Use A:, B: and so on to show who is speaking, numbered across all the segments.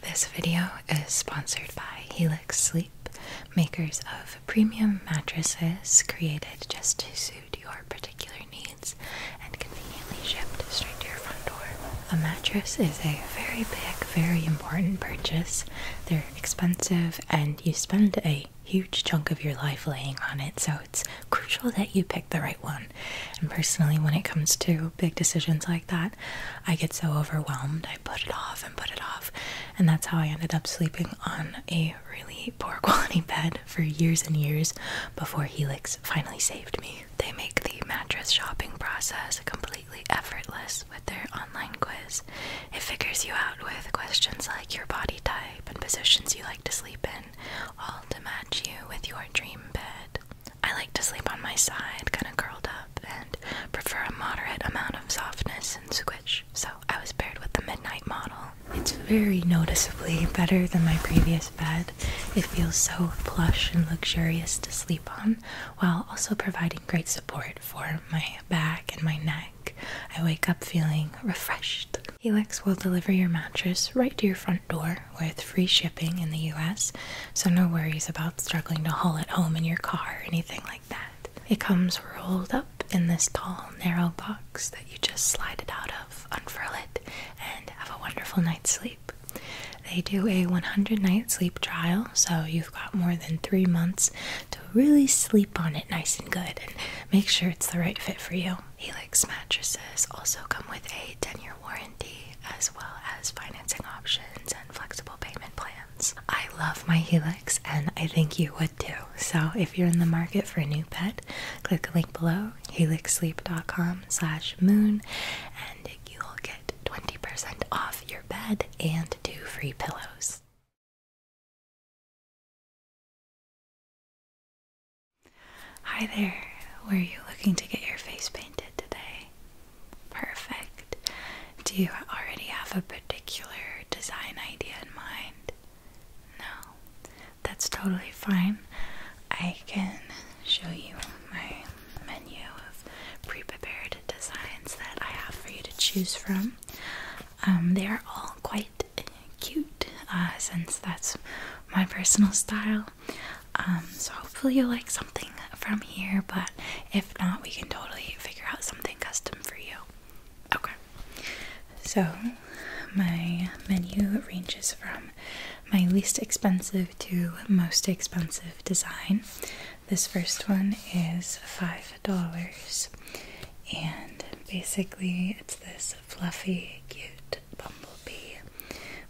A: This video is sponsored by Helix Sleep, makers of premium mattresses created just to suit your particular needs and conveniently shipped straight to your front door. A mattress is a very big, very important purchase. They're expensive and you spend a huge chunk of your life laying on it, so it's crucial that you pick the right one. And personally, when it comes to big decisions like that, I get so overwhelmed, I put it off and put it off. And that's how I ended up sleeping on a really poor quality bed for years and years before Helix finally saved me. They make the mattress shopping process completely effortless with their online quiz. It figures you out with questions like your body type and positions you like to sleep in, all to match you with your dream bed. I like to sleep on my side, kind of curled up, and prefer a moderate amount of softness and squish. So I was paired with the Midnight model. It's very noticeably better than my previous bed. It feels so plush and luxurious to sleep on, while also providing great support for my back and my neck. I wake up feeling refreshed. Helix will deliver your mattress right to your front door with free shipping in the US so no worries about struggling to haul it home in your car or anything like that. It comes rolled up in this tall, narrow box that you just slide it out of, unfurl it, and have a wonderful night's sleep. They do a 100 night sleep trial, so you've got more than three months to really sleep on it nice and good and make sure it's the right fit for you. Helix mattresses also come with a 10 year warranty as well as financing options flexible payment plans. I love my Helix and I think you would too. So if you're in the market for a new bed, click the link below, helixsleep.com slash moon, and you'll get 20% off your bed and two free pillows. Hi there, were you looking to get your face painted today? Perfect. Do you already have a particular design idea in mind? No. That's totally fine. I can show you my menu of pre prepared designs that I have for you to choose from. Um, they are all quite cute uh, since that's my personal style. Um, so hopefully you'll like something from here, but if not, we can totally figure out something custom for you. Okay. So my menu ranges from my least expensive to most expensive design. This first one is $5 and basically it's this fluffy cute bumblebee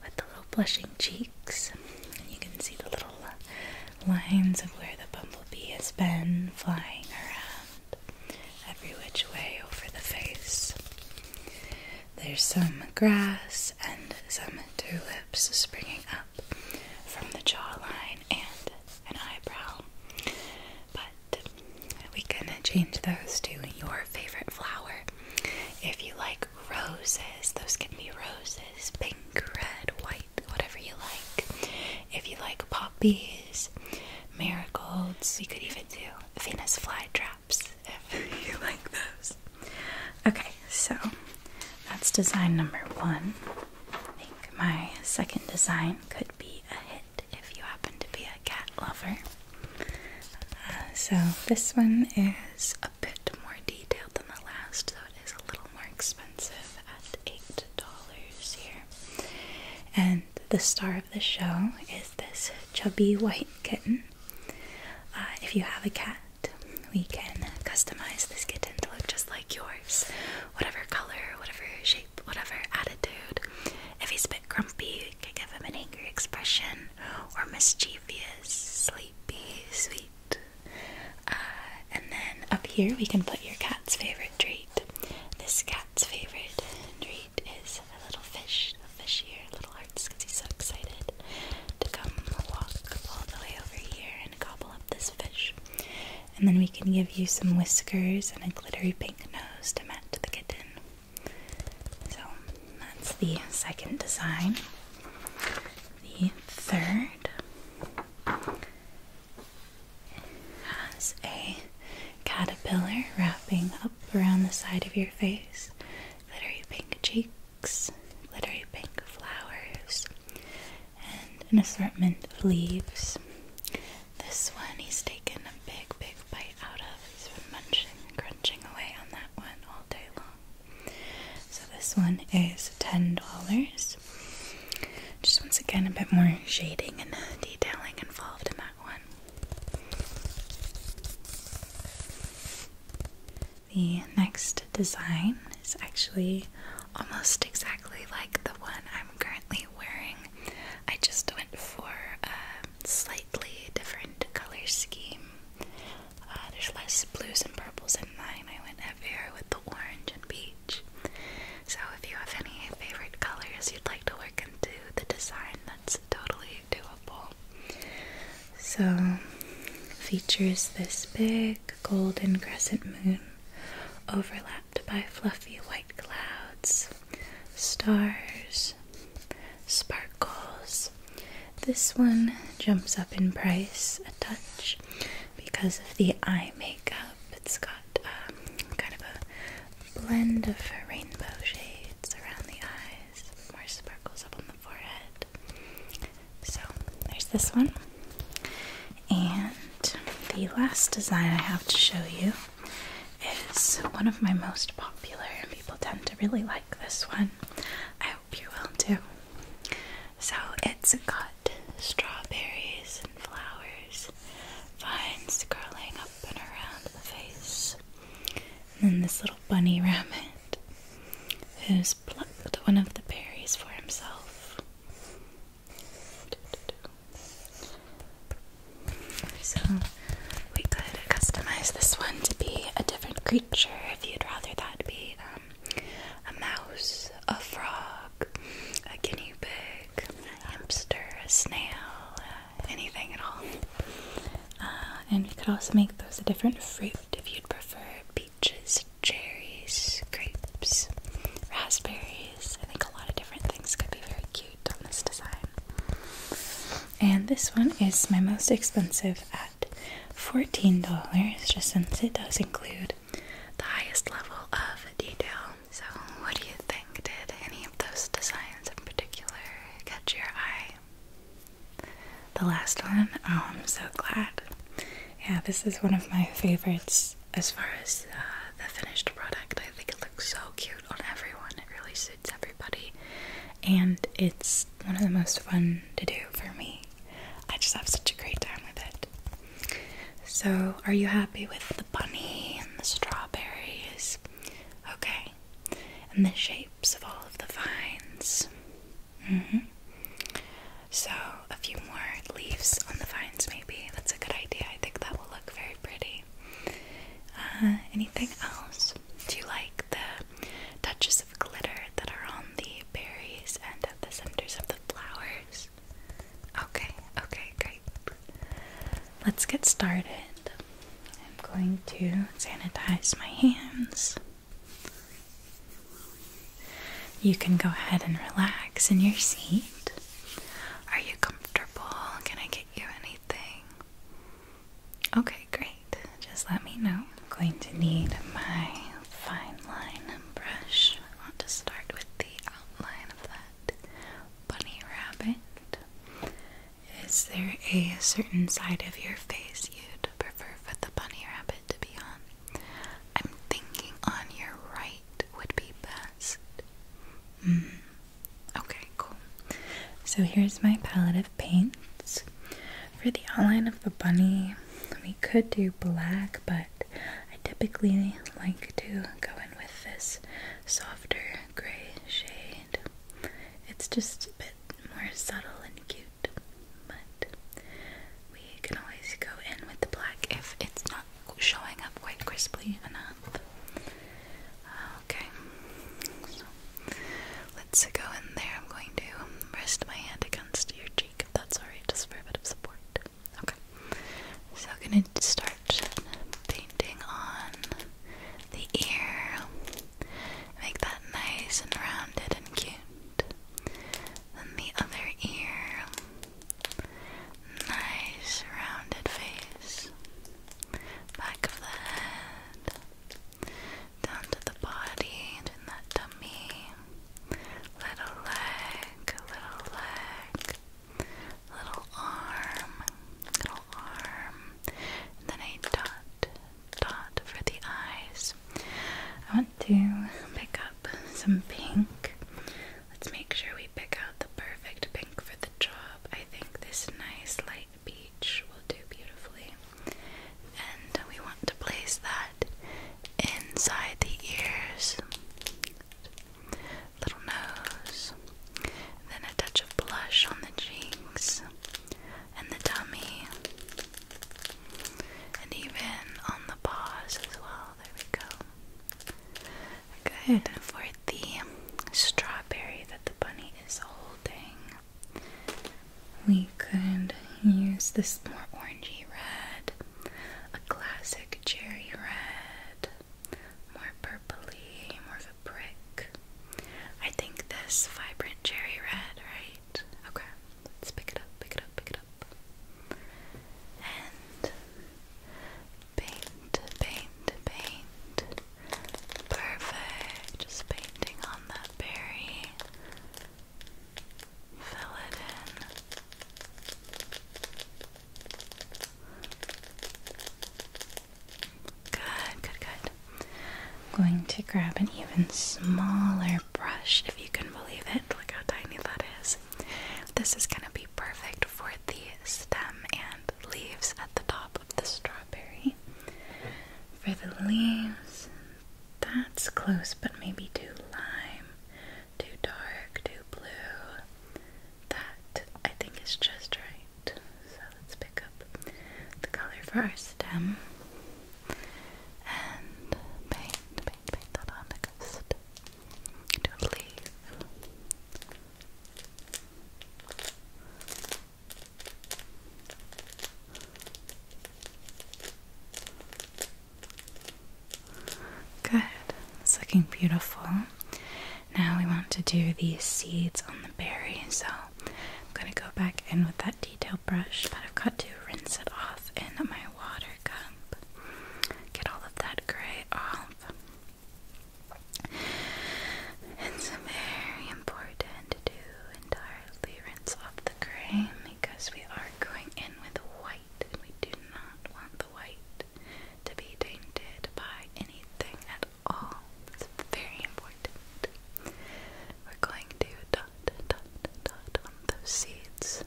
A: with the little blushing cheeks. And you can see the little uh, lines of where the bumblebee has been flying around every which way over the face. There's some grass and some tulips springing up from the jawline and an eyebrow. But we can change those to your favorite flower if you like roses, those can be roses, pink, red, white, whatever you like. If you like poppies, marigolds, you could even do Venus flytraps if you like those. Okay, so that's design number one. I think my second design could be a hit if you happen to be a cat lover. Uh, so this one is a bit more detailed than the last, so it is a little more expensive at eight dollars here. And the star of the show is this chubby white kitten. Uh, if you have a cat, we can customize this kitten to look just like yours, whatever color, whatever shape, whatever attitude. If he's a bit grumpy, we can give him an angry expression, or mischievous, sleepy, sweet, uh, and then up here we can put your cat's favorite treat. This cat's favorite treat is a little fish, a fish here, little hearts because he's so excited to come walk all the way over here and gobble up this fish. And then we can give you some whiskers and a glittery pink nose to match the kitten. So that's the second design the third has a caterpillar wrapping up around the side of your face, glittery pink cheeks, glittery pink flowers, and an assortment of leaves. This one he's taken a big, big bite out of. He's been munching, crunching away on that one all day long. So this one is $10. Just once again, a bit more shading and detailing involved in that one. The next design is actually almost exactly like the one I'm currently wearing. I just went for a slightly different color scheme. Uh, there's less blues and purples in mine. I went heavier with the orange and peach. So if you have any favorite colors you'd like to work into the design, that's totally doable. So, features this big golden crescent moon overlapped by fluffy white clouds, stars, sparkles, this. one jumps up in price a touch because of the eye makeup. It's got um, kind of a blend of rainbow shades around the eyes, more sparkles up on the forehead. So there's this one. And the last design I have to show you is one of my most popular, and people tend to really like this one hope you will too. So it's got strawberries and flowers, vines curling up and around the face, and then this little bunny rabbit who's plucked one of the berries for himself. So we could customize this one to be a different creature if you'd rather that be um, a mouse, a frog, a guinea pig, a hamster, a snail, uh, anything at all. Uh, and you could also make those a different fruit if you'd prefer peaches, cherries, grapes, raspberries. I think a lot of different things could be very cute on this design. And this one is my most expensive $14 just since it does include the highest level of detail. So, what do you think? Did any of those designs in particular catch your eye? The last one? Oh, I'm so glad. Yeah, this is one of my favorites as far as uh, the finished product. I think it looks so cute on everyone, it really suits everybody. And it's one of the most fun to do for me. I just have such a great time with it. So, are you happy with the bunny and the strawberries? Okay. And the shapes of all of the vines? Mm-hmm. So, a few more leaves on the vines, maybe. That's a good idea. I think that will look very pretty. Uh, anything else? Do you like the touches of glitter that are on the berries and at the centers of the flowers. Okay, okay, great. Let's get started. I'm going to sanitize my hands. You can go ahead and relax in your seat. Are you comfortable? Can I get you anything? Okay, great just let me know. I'm going to need my fine line brush. I want to start with the outline of that bunny rabbit. Is there a certain side of your face you'd prefer for the bunny rabbit to be on? I'm thinking on your right would be best. Mm. Okay, cool. So here's my palette of paints. For the outline of the bunny, we could do black, but I typically like to go in with this softer gray shade. It's just a bit more subtle and cute, but we can always go in with the black if it's not showing up quite crisply enough. Okay, let's go in there. I'm going to rest my hand against your cheek, if that's alright, just for a bit of support. Okay. So I'm gonna start painting on the ear. Make that nice and rounded and cute. Then the other ear. Nice rounded face. Back of the head down to the body in that tummy. Little leg, little leg, little arm, little arm, then a dot, dot for the eyes. I want to pick up some pink. Let's make sure we pick out the perfect pink for the job. I think this nice light peach will do beautifully and we want to place that inside the ears, little nose, then a touch of blush on the cheeks and the tummy, and even on the paws as well. There we go. Good for the strawberry that the bunny is holding. We could use this more orangey red, a classic cherry red, more purpley, more of a brick. I think this vibrant cherry red, right? Okay, let's pick it up, pick it up, pick it up. And paint, paint, paint. Perfect. Just painting on that berry fill it in. Good, good, good. I'm going to grab an even smaller brush, if you can believe it. Look how tiny that is. This is going to be perfect for the stem and leaves at the top of the strawberry. For the leaves, that's close, but maybe too lime, too dark, too blue. That I think is just right. So let's pick up the color for our stem and paint, paint, paint that on the ghost to a leaf. Good. It's looking beautiful. Now we want to do the seeds on the berry, so I'm going to go back in with that detail brush, but I've got to rinse it off in my water cup. Get all of that gray off. It's very important to do entirely appearance the gray because we are going in with white and we do not want the white to be tainted by anything at all. It's very important. We're going to dot, dot, dot on those seeds.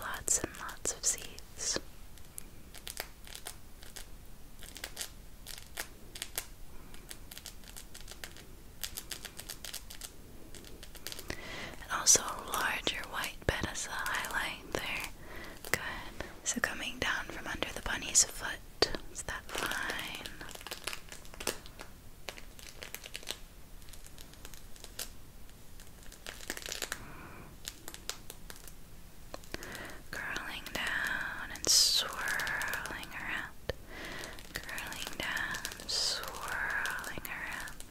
A: Lots and lots of seeds. And also larger white bed as a highlight there. Good. So coming down from under the bunny's foot is that line. Curling down and swirling around. Curling down, swirling around.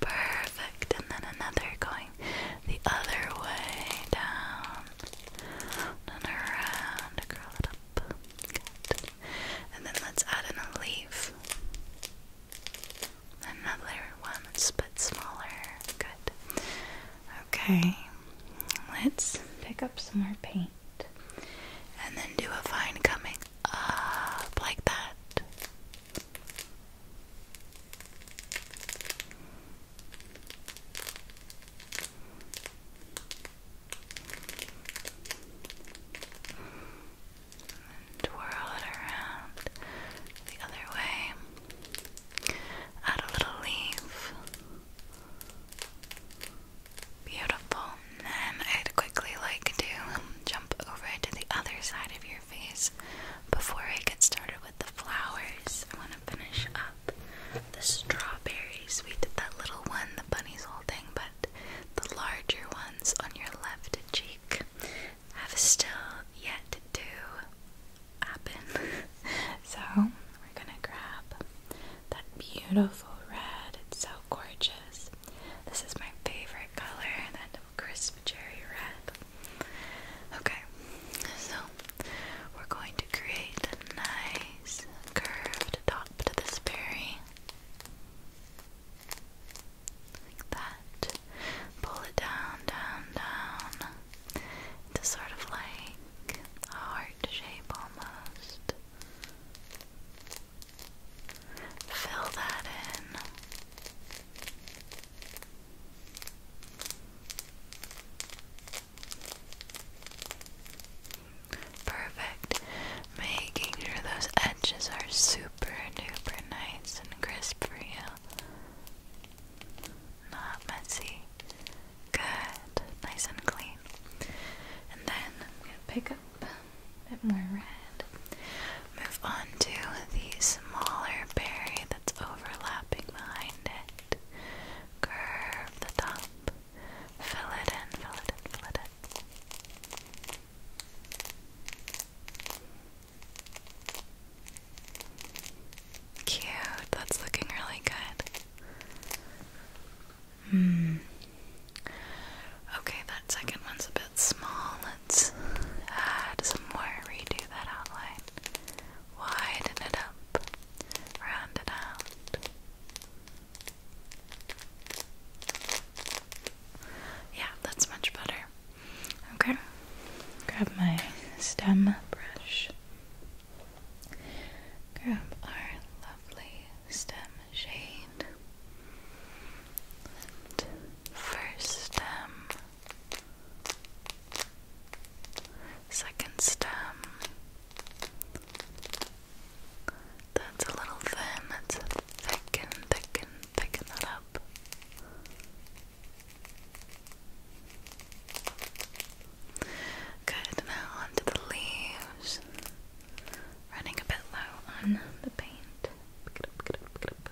A: Perfect. And then another going the other way down and around. Curl it up. Good and then let's add in a leaf. Another one that's a bit smaller. Good. Okay, let's pick up some more paint and then do a fine coming up like that twirl it around the other way. Add a little leaf. Beautiful. And I'd quickly like to jump over to the other side of your face before I get started with the flowers. I want to finish up the strawberries. We did that little one the bunny's holding, but the larger ones on your left cheek have still yet to happen. so, we're gonna grab that beautiful red. It's so gorgeous. This is my favorite color, that crisp cherry red. Okay, so we're going to create a nice curved top to this berry. Like that. Pull it down, down, down. It's sort of like a heart shape almost. Fill that in. Perfect. Making sure those edges are super duper nice and crisp for you. Not messy. Good. Nice and clean. And then I'm going to pick up a bit more red. Move on to the smaller berry that's overlapping behind it. Curve the top. Fill it in, fill it in, fill it in. Cute, that's looking really good. Hmm. Okay, that second one's a bit small. Let's add some more, redo that outline. Widen it up, round it out. Yeah, that's much better. Okay, grab my stem brush. Grab our lovely stem shade. first stem, second stem, that's a little thin. Let's thicken, thicken, thicken that up. Good, now onto the leaves. Running a bit low on the paint. Pick it up, pick it up, pick it up.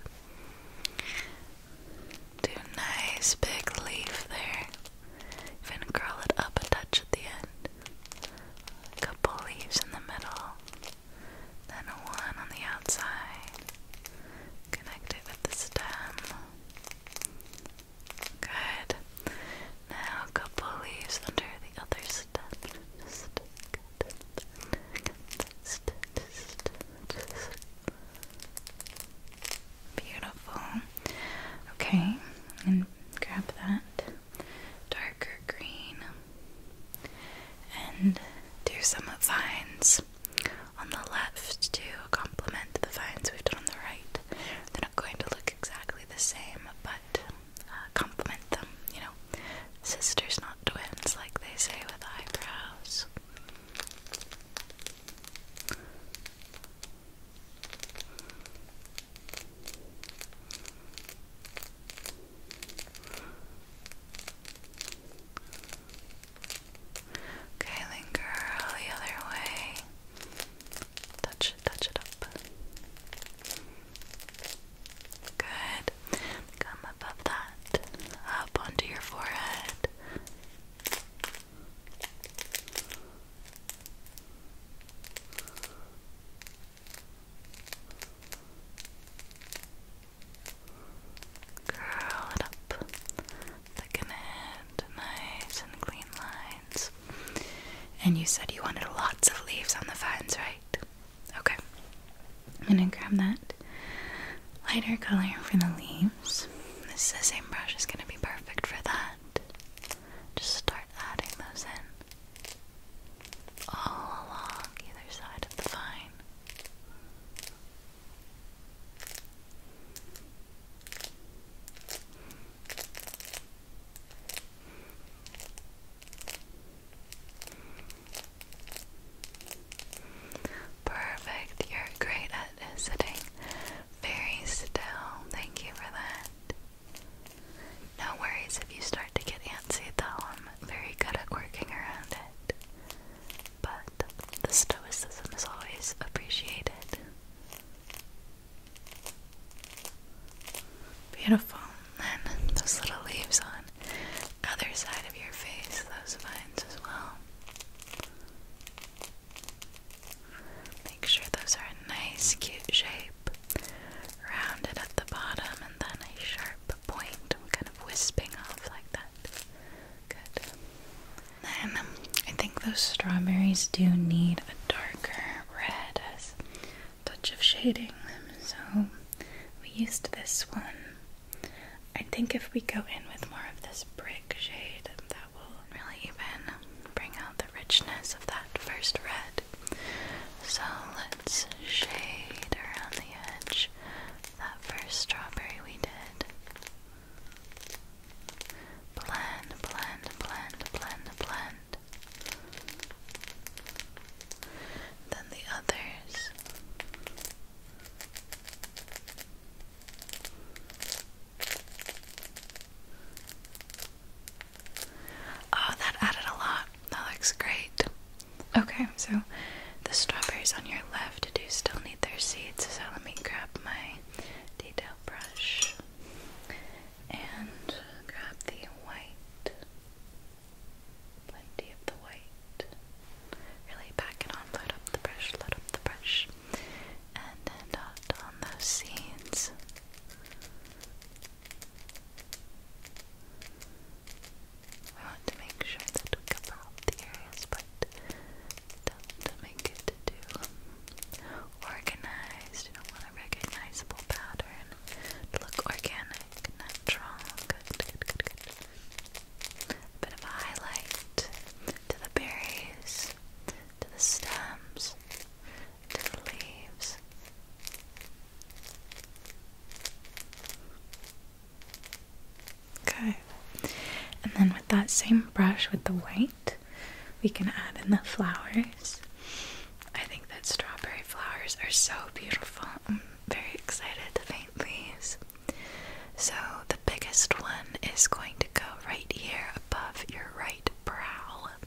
A: Do a nice big leaf there. Even curl it up a touch at the end a couple leaves in the middle, then one on the outside. Connect with the stem. Good. Now a couple leaves under the other stem. Just good. Just, just, just. Beautiful. Okay, and grab that darker green and do some vines on the left to complement the vines we've done on the right. They're not going to look exactly the same, but uh, complement them, you know. Sisters, not twins, like they say with eyebrows. Okay, linger the other way. Touch it, touch it up. Good. Come above that, up onto your forehead. Curl it up. Thicken it. Nice and clean lines. And you said you wanted lots of leaves on the vines, right? Okay. I'm gonna grab that lighter color for the leaves. This is the same brush, is gonna be perfect for that. Just start adding those in all along either side of the vine. Perfect. You're great at sitting very still. Thank you for that. No worries if you start to get antsy, though. I'm very good at working around it. But the stoicism is always appreciated. Beautiful. And those little leaves on other side of your face, those vines as well. Make sure those are a nice, cute shape rounded at the bottom and then a sharp point, kind of wisping off like that. Good. Then um, I think those strawberries do need a darker red touch of shading so we used this one. I think if we go in with more of this brick shade, that will really even bring out the richness of that first red. So let's shade around the edge that first strawberry we did. Blend, blend, blend, blend, blend. Then the others. Oh, that added a lot. That looks great. Okay, so the strawberries on your left do still need their seeds, so let me grab my detail brush and grab the white. Plenty of the white. Really pack it on, load up the brush, load up the brush, and then dot on those seeds. I want to make sure that we cover all the areas, but don't it too um, organized. You don't want a recognizable pattern look organic, natural. Good, good, good, good. A bit of a highlight to the berries, to the stems, to the leaves. Okay, and then with that same brush with the white, we can add in the flowers. I think that strawberry flowers are so beautiful. I'm very excited to paint these. So, the biggest one is going to go right here above your right brow.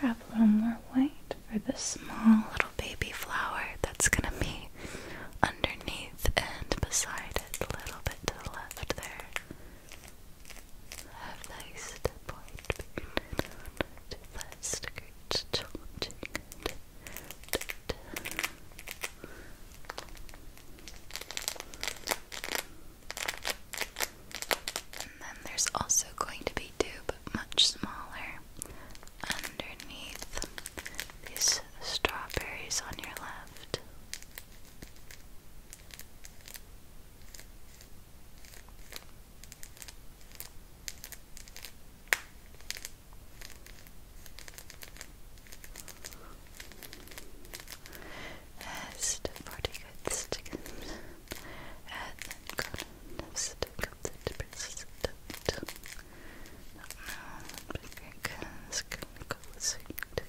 A: Grab one more white for this small little baby flower that's gonna be underneath and beside it, a little bit to the left there and then there's also going to be two, but much smaller, underneath these strawberries on your left. Hast Fertigkeitsstücken Erdenkolonistück of the President. Now, African Skillical Sweet.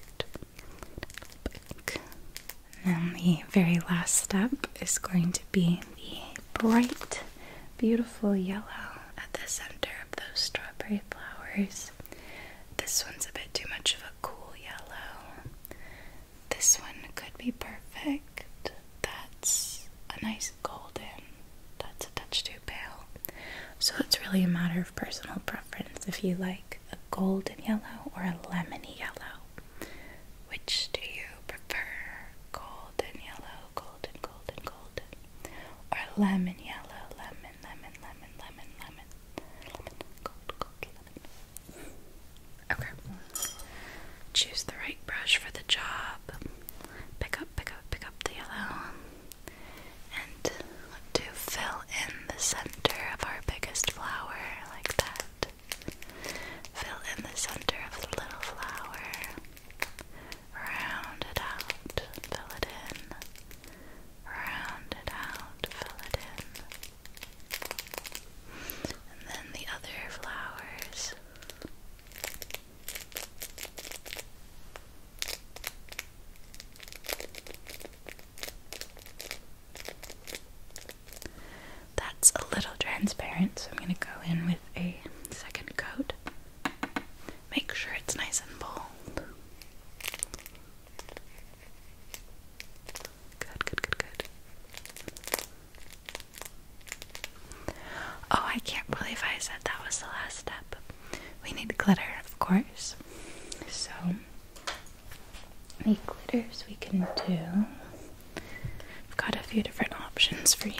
A: And the very last step is going to be the bright, beautiful yellow at the center of those strawberry flowers. This one's a bit too much of a cool yellow. This one could be perfect. That's a nice golden. That's a touch too pale. So it's really a matter of personal preference if you like like a golden yellow or a lemony yellow? Which do you prefer? Golden yellow, golden, golden, golden. Or lemon yellow, lemon, lemon, lemon, lemon, lemon. Lemon, gold, gold, lemon. Okay. Choose the right brush for the job. Pick up, pick up, pick up the yellow and to fill in the center of our biggest flower like that. Fill in the center of the little flower. Round it out, fill it in. Round it out, fill it in. And then the other flowers. That's a little transparent, so I'm going to go in with a second coat. Make sure it's nice and bold. Good, good, good, good. Oh, I can't believe I said that was the last step we need glitter, of course. So, the glitters we can do. I've got a few different options for you.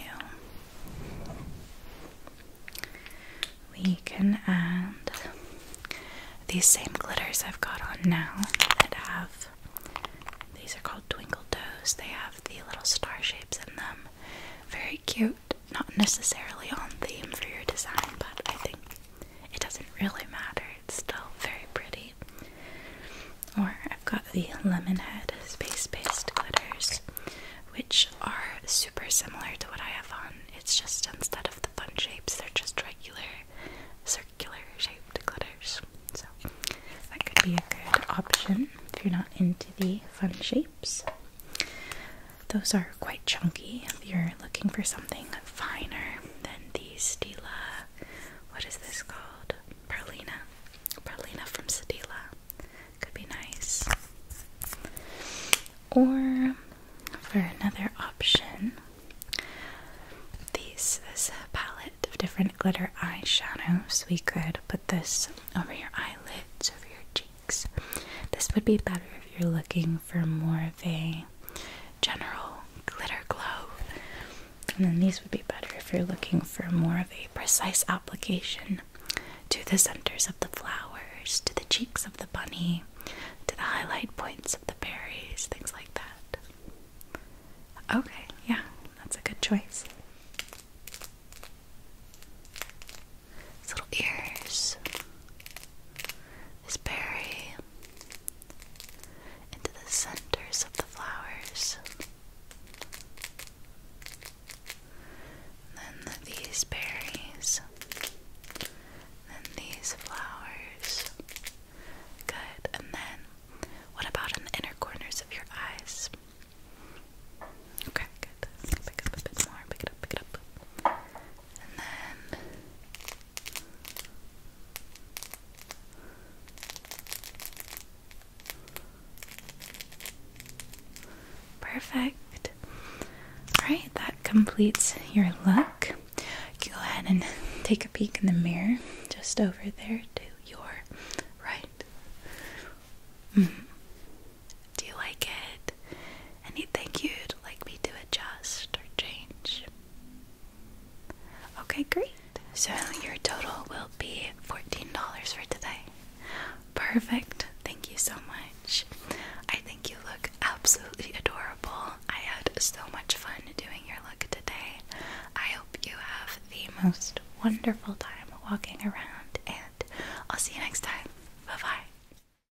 A: We can add these same glitters I've got on now that have these are called twinkle toes. They have the little star shapes in them. Very cute. Not necessarily on theme for your design, but I think it doesn't really matter, it's still very pretty. Or I've got the Lemonhead Space Based Glitters, which are super similar to what I have on. It's just instead of the fun shapes, they're just regular circular shaped glitters. So that could be a good option if you're not into the fun shapes. Those are quite chunky. If you're looking for something finer than the Stila, what is this called? Perlina. Perlina from Stila. Could be nice. Or for another option, these this palette of different glitter eyeshadows. We could put this over your eyelids, over your cheeks. This would be better if you're looking for more of a general glitter glow. And then these would be better if you're looking for more of a precise application to the centers of the flowers, to the cheeks of the bunny, to the highlight points of the berries, things like that. Okay, yeah, that's a good choice. These little ears, these berries into the centers of the flowers. then these berries, and then these flowers. Good. And then what about in the inner corners of your eyes? Okay, good. Pick up a bit more. Pick it up, pick it up perfect. All right, that completes your look. go ahead and take a peek in the mirror, just over there to your right. Mm-hmm. Do you like it? Anything you'd like me to adjust or change? Okay, great. So your total will be $14 for today. Perfect. Thank you so much. I think you look absolutely adorable. I had so much fun doing your look today. I hope you have the most wonderful time walking around, and I'll see you next time. Bye bye.